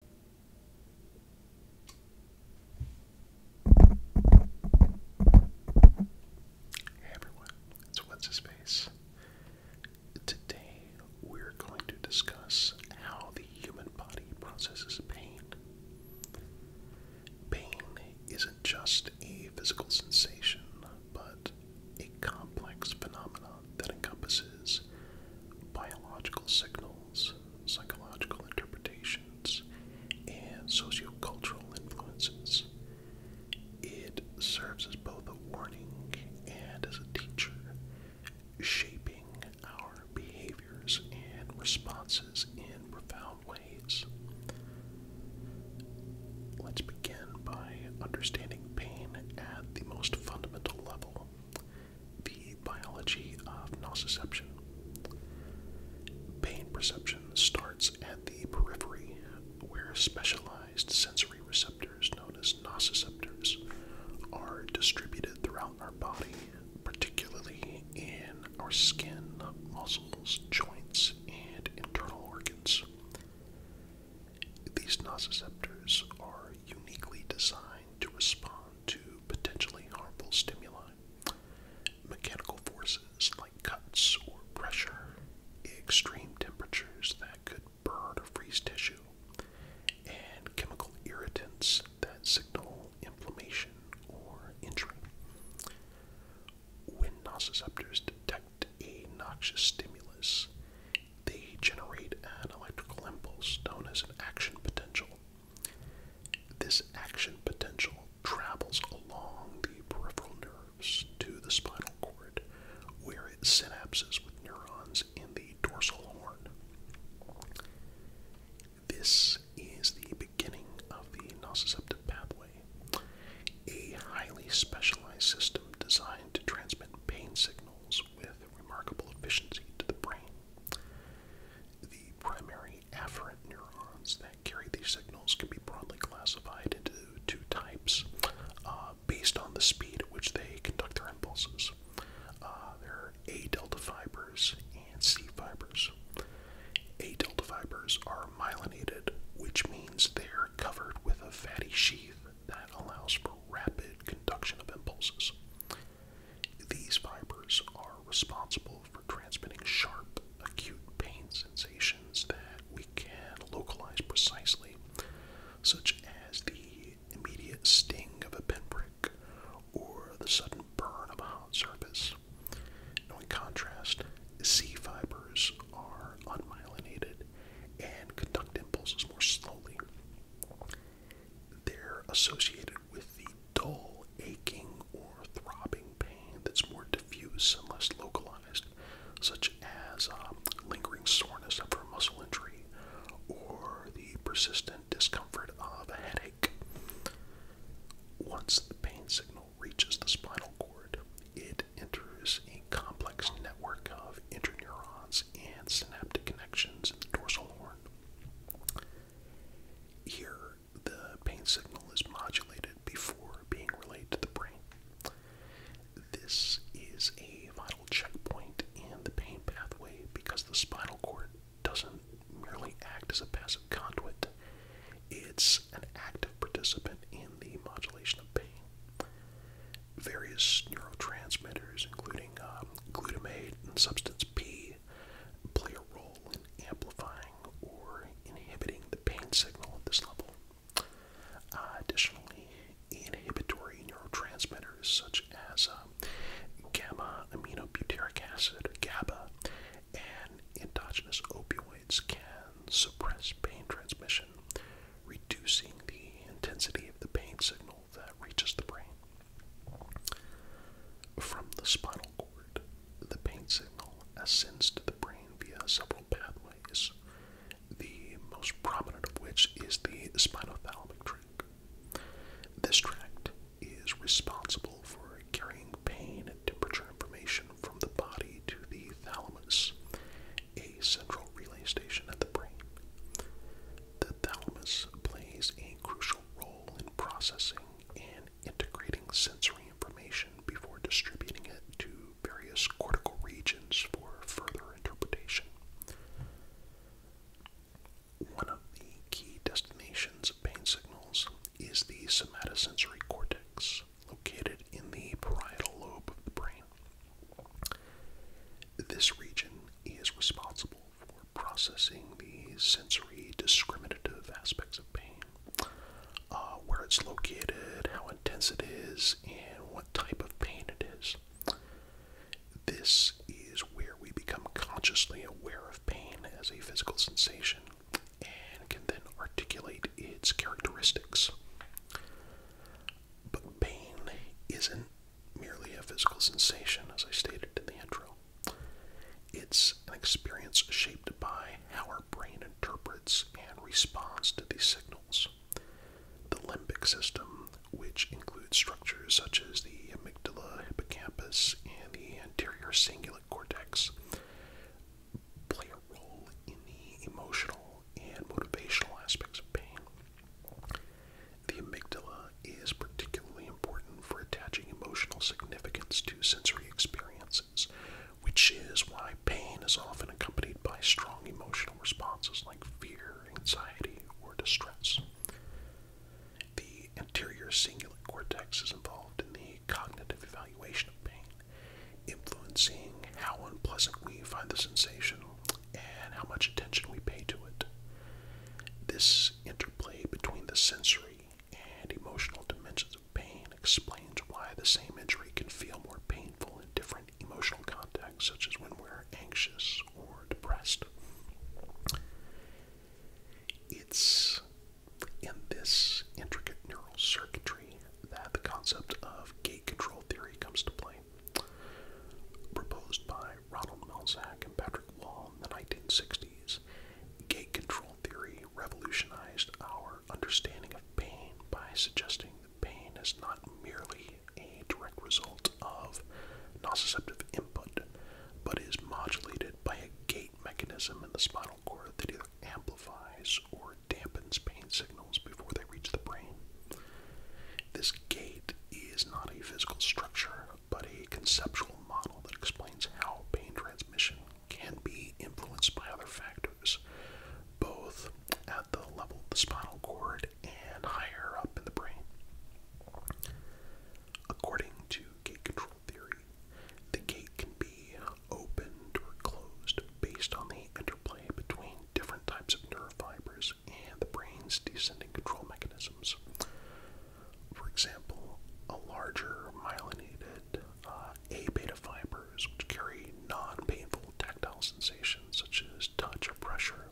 Hey everyone, What's His Face. Today we're going to discuss how the human body processes pain. Pain isn't just a physical sensation, but a complex phenomenon that encompasses biological signals, psychological interpretations, and sociocultural influences. It serves as both a warning and as a teacher, shaping our behaviors and responses in profound ways. Let's begin by understanding pain at the most fundamental level. The biology of nociception. Pain perception starts at the periphery, where specialized sensory receptors known as nociceptors are distributed throughout our body, particularly in our skin, muscles, joints, and internal organs. These nociceptors are uniquely designed to respond to potentially harmful stimuli. Mechanical forces like cuts or pressure, extreme temperatures that could burn or freeze tissue, and chemical irritants that signal inflammation or injury. When nociceptors detect a noxious stimulus, they generate an electrical impulse known as an action potential. This action potential travels along the peripheral nerves to the spinal cord, where it synapses with neurons in the dorsal horn. This is the beginning of the nociceptive pathway, a highly specialized system designed to transmit pain signals with remarkable efficiency to the brain. The primary afferent neurons that carry these signals can be broadly classified into two types uh, based on the speed at which they conduct their impulses. Uh, there are A delta fibers and C fibers. A delta fibers are myelinated, which means they're covered with a fatty sheath that allows for rapid conduction of impulses. These fibers are responsible for transmitting sharp, acute pain sensations that we can localize precisely, such as the immediate sting of a pinprick or the sudden burn of a hot surface. in contrast, C fibers are unmyelinated and conduct impulses more slowly. They're associated with the dull, aching, or throbbing pain that's more diffuse and less localized, such as um, lingering soreness after a muscle injury or the persistent discomfort of a headache. Once the pain signal reaches the spinal cord, it enters a complex network of interneurons and synaptic connections in the dorsal horn. Here, the pain signal is modulated before being relayed to the brain. This is a vital checkpoint in the pain pathway because the spinal cord doesn't merely act as a passive conduit, it's an active participant in the modulation of pain various neurotransmitters, including um, glutamate and substance P, play a role in amplifying or inhibiting the pain signal at this level. Uh, additionally, inhibitory neurotransmitters such as um, gamma aminobutyric acid, GABA, and endogenous opioids can suppress pain transmission, reducing the intensity of the pain signal that reaches the brain. From the spinal cord, the pain signal ascends to the brain via several pathways, the most prominent of which is the spinothalamic tract. This tract is responsible for carrying pain and temperature information from the body to the thalamus, a central relay station at the brain. The thalamus plays a crucial role in processing and integrating sensory information before distributing it to various cortical regions for further interpretation. One of the key destinations of pain signals is the somatosensory cortex, located in the parietal lobe of the brain. This region is responsible for processing the sensory discriminative aspects of pain, uh, where it's located, how intense it is, and what type of pain it is. This is where we become consciously aware of pain as a physical sensation and can then articulate its characteristics. But pain isn't merely a physical sensation, as I stated in the intro. It's an experience shaped by how our brain interprets and responds to these signals. The limbic system, which includes structures such as the amygdala, hippocampus, and the anterior cingulate cortex, play a role in the emotional and motivational aspects of pain. The amygdala is particularly important for attaching emotional significance to sensory experiences, which is why pain is often accompanied by strong emotional responses like fear, anxiety, or distress. The anterior cingulate cortex is involved in the cognitive evaluation of pain, influencing how unpleasant we find the sensation and how much attention we pay to it. This interplay between the sensory and emotional dimensions of pain explains why the same injury can feel more painful in different emotional contexts, such as when we're anxious or depressed. It's in this intricate neural circuitry that the concept of gate control theory comes to play. Proposed by Ronald Melzack and Patrick Wall in the 1960s, gate control theory revolutionized our understanding of pain by suggesting that pain is not merely a direct result of nociceptive input, but is modulated by a gate mechanism in the spinal cord that either amplifies or dampens pain signals before they reach the brain. This gate is not a physical structure, but a conceptual model that explains how pain transmission can be influenced by other factors, both at the level of the spinal cord and higher up in the brain. According to gate control theory, the gate can be opened or closed based on the interplay between different types of nerve fibers and the brain's descending control mechanisms. For example, a larger myelinated uh, A beta fibers, which carry non painful tactile sensations such as touch or pressure,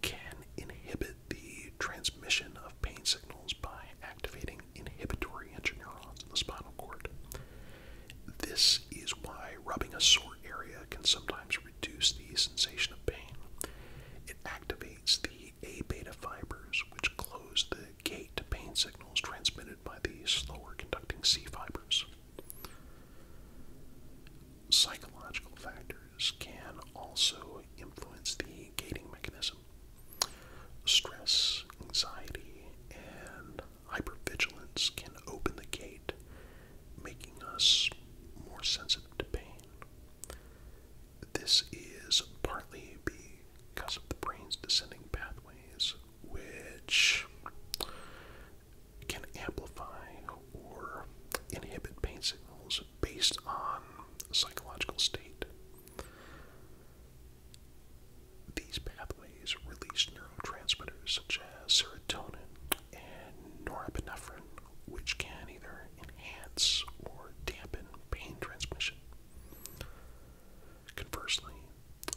can inhibit the transmission of pain signals by activating inhibitory interneurons in the spinal cord. This is why rubbing a sore area can sometimes reduce the sensation of pain. It activates the A beta fibers, which close the gate to pain signals transmitted by the slower conducting C fibers. Psychological factors can also influence the gating mechanism. Stress, anxiety, and hypervigilance can open the gate making us more sensitive to pain. This is partly because of the brain's descending pathways, which can amplify or inhibit pain signals based on psychological state. These pathways release Transmitters such as serotonin and norepinephrine, which can either enhance or dampen pain transmission. Conversely,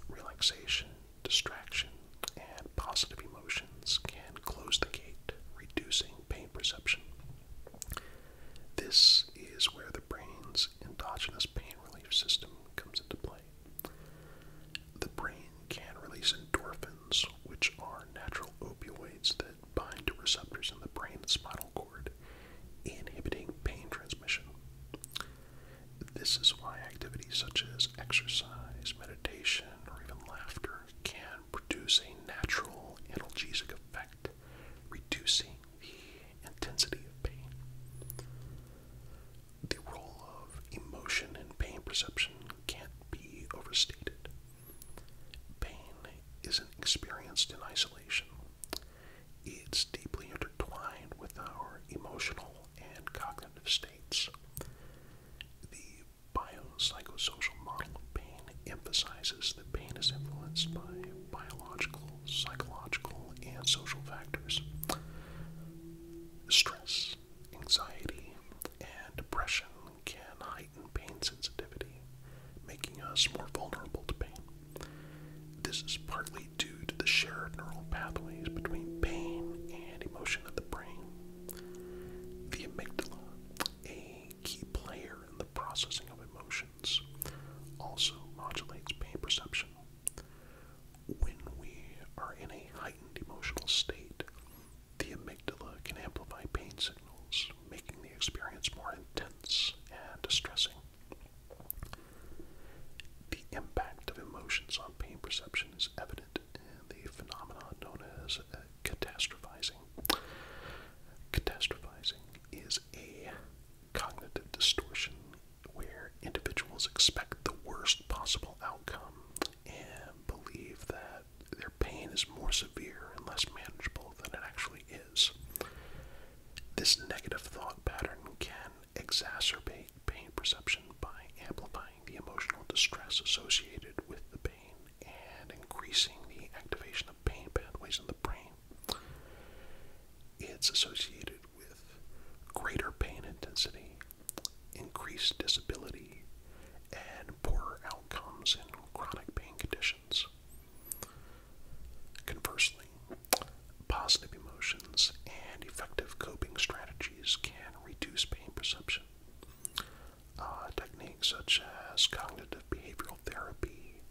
relaxation, distraction, and positive emotions can close the gate, reducing pain perception. This is where the brain's endogenous pain relief system comes into play. The brain can release endorphins, which are natural opioids that bind to receptors in the brain and spinal cord, inhibiting pain transmission. This is why activities such as exercise, meditation, or even laughter can produce a natural analgesic effect, reducing the intensity of pain the role of emotion in pain perception can't be overstated. Pain isn't experienced in isolation, it's deeply intertwined with our emotional and cognitive states. The biopsychosocial model of pain emphasizes that pain is influenced by biological, psychological, and social factors. Stress, Anxiety and depression can heighten pain sensitivity, making us more vulnerable to pain. This is partly due to the shared neural pathways between pain and emotion of the brain. The amygdala, a key player in the processing of emotions, also modulates pain perception. When we are in a heightened emotional state, the amygdala can amplify pain signals, making the experience more intense and distressing. The impact of emotions on pain perception is evident in the phenomenon known as catastrophizing. Catastrophizing is a cognitive distortion where individuals expect the worst possible outcome and believe that their pain is more severe and less manageable than it actually is. This negative thought pattern can exacerbate pain perception by amplifying the emotional distress associated with the pain and increasing the activation of pain pathways in the brain. It's associated with greater pain intensity increased disability, and poorer outcomes in chronic pain conditions. Conversely, positive emotions and effective coping strategies can reduce pain perception. Uh, techniques such as cognitive behavioral therapy,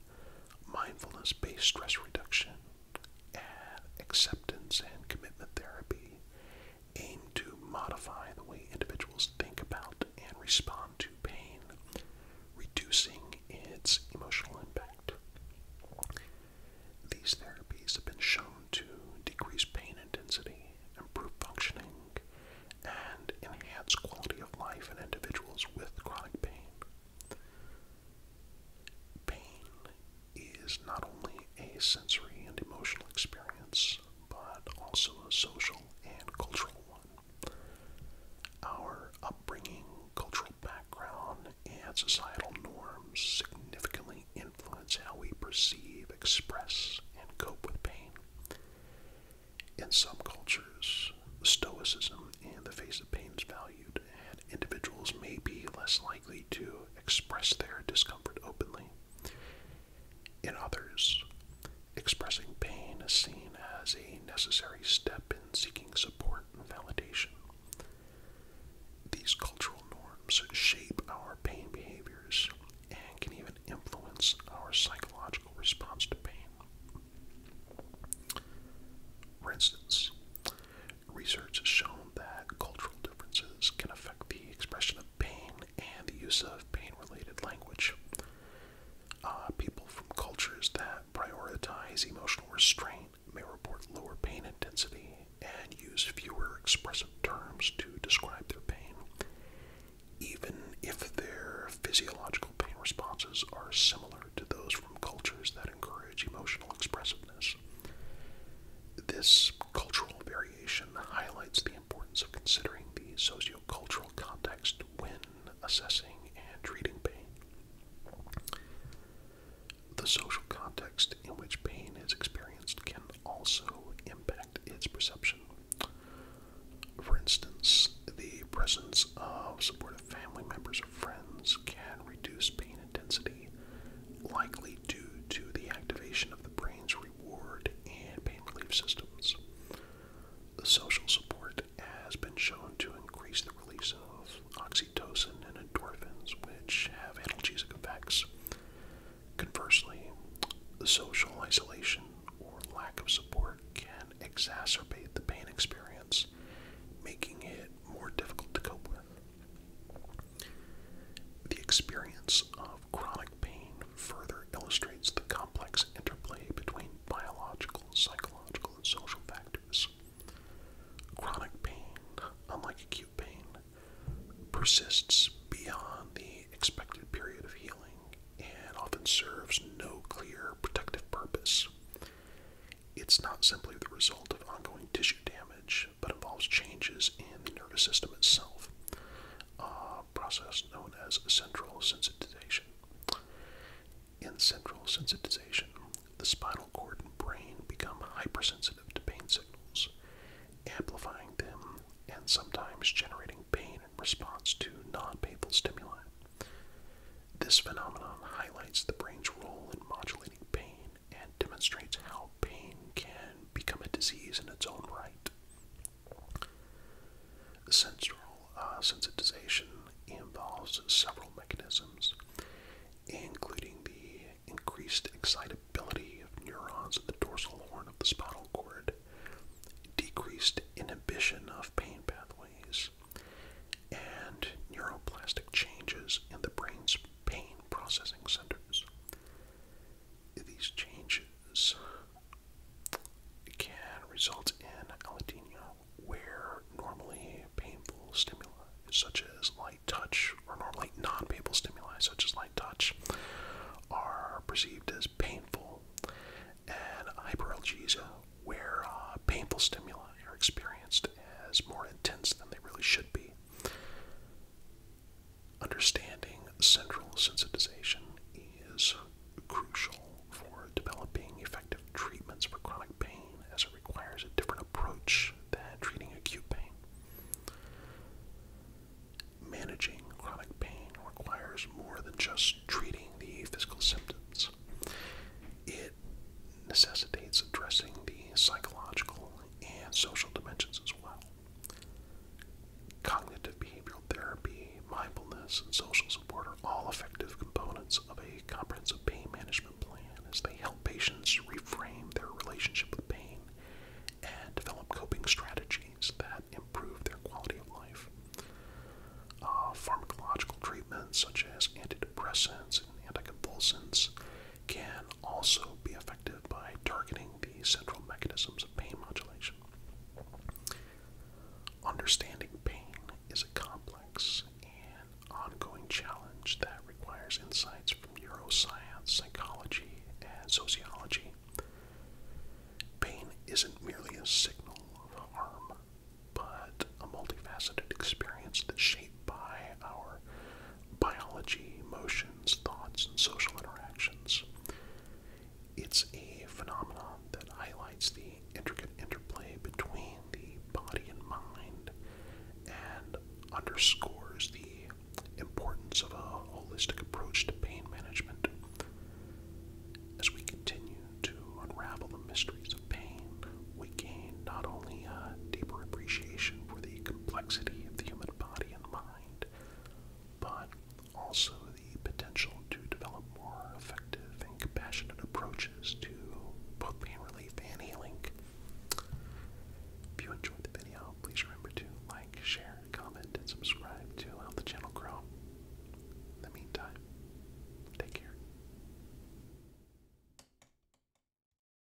mindfulness based stress reduction, acceptance and commitment therapy aim to modify the way individuals think about and respond to pain, reducing its emotional impact. These therapies have been shown to decrease pain intensity, improve functioning, and enhance quality of life in individuals with chronic pain. Pain is not only a sensory and emotional experience, but also a social and cultural one. Our upbringing, cultural background, and societal norms significantly influence how we perceive, express, and cope with pain. In some cultures, stoicism and the face of pain is valued, and individuals may be less likely likely to express their discomfort openly. In others, expressing pain is seen as a necessary step in seeking support and validation. These cultural norms shape our pain behaviors and can even influence our psychological response to pain. For instance, research has shown that cultural differences can affect the expression of pain and the use of pain related language. Uh, people from cultures that prioritize emotional restraint may report lower pain intensity and use fewer expressive terms to describe their pain, even if their physiological pain responses are similar to those from cultures that encourage emotional expressiveness. This cultural variation that highlights the importance of considering the sociocultural context when assessing and treating pain. The social context in which pain is experienced can also impact its perception. For instance, the presence of supportive family members or friends can reduce pain intensity, likely due to the activation of the brain's reward and pain relief systems. The social support has been shown to increase the release of oxytocin and endorphins, which have analgesic effects. Conversely, the social isolation or lack of support can exacerbate the pain experience, making it more difficult to cope with. The experience of chronic pain further illustrates the complex interplay between biological, psychological, and social factors. Chronic pain, unlike acute pain, persists beyond the expected period of healing and often serves no clear protective purpose. It's not simply the result of ongoing tissue damage, but involves changes in the nervous system itself, a process known as central sensitization. In central sensitization, the spinal cord and brain become hypersensitive to pain signals, amplifying them and sometimes generating pain in response to non painful stimuli. This phenomenon highlights the brain's role in modulating pain and demonstrates how pain can become a disease in its own right. Sensoral uh, sensitization involves several mechanisms, including the increased excitability of neurons in the dorsal horn of the spinal cord, decreased inhibition of pain pathways, and neuroplastic changes in the brain's pain processing centers. These changes can result in allodynia, where normally painful stimuli such as light touch, or normally non-painful stimuli such as light touch, are perceived as painful, and hyperalgesia, where uh, painful stimuli are experienced as more intense than they really should be. Understanding central sensitization is crucial for developing effective treatments for chronic pain, as it requires a different approach than treating acute pain. Managing chronic pain requires more than just treating the physical symptoms. It necessitates addressing the psychological and social dimensions as well. Cognitive behavioral therapy, mindfulness, and social support are all effective components of a comprehensive pain management plan as they help patients reframe their relationship with pain and develop coping strategies that improve their quality of life. Uh, pharmacological treatments such as antidepressants and anticonvulsants can also be effective by targeting the central mechanisms of pain modulation. Understanding pain is a complex and ongoing challenge that requires insights from neuroscience, psychology, and sociology. Pain isn't merely a signal of harm, but a multifaceted experience that's shaped by our biology, emotions, thoughts, and social interactions. It's a phenomenon that highlights the intricate interplay between the body and mind and underscores the importance of a holistic approach to pain management. As we continue to unravel the mysteries of pain, we gain not only a deeper appreciation for the complexity of the human body and mind, but also the potential to develop more effective and compassionate approaches to both pain relief and healing. If you enjoyed the video, please remember to like, share, comment, and subscribe to help the channel grow. In the meantime, take care.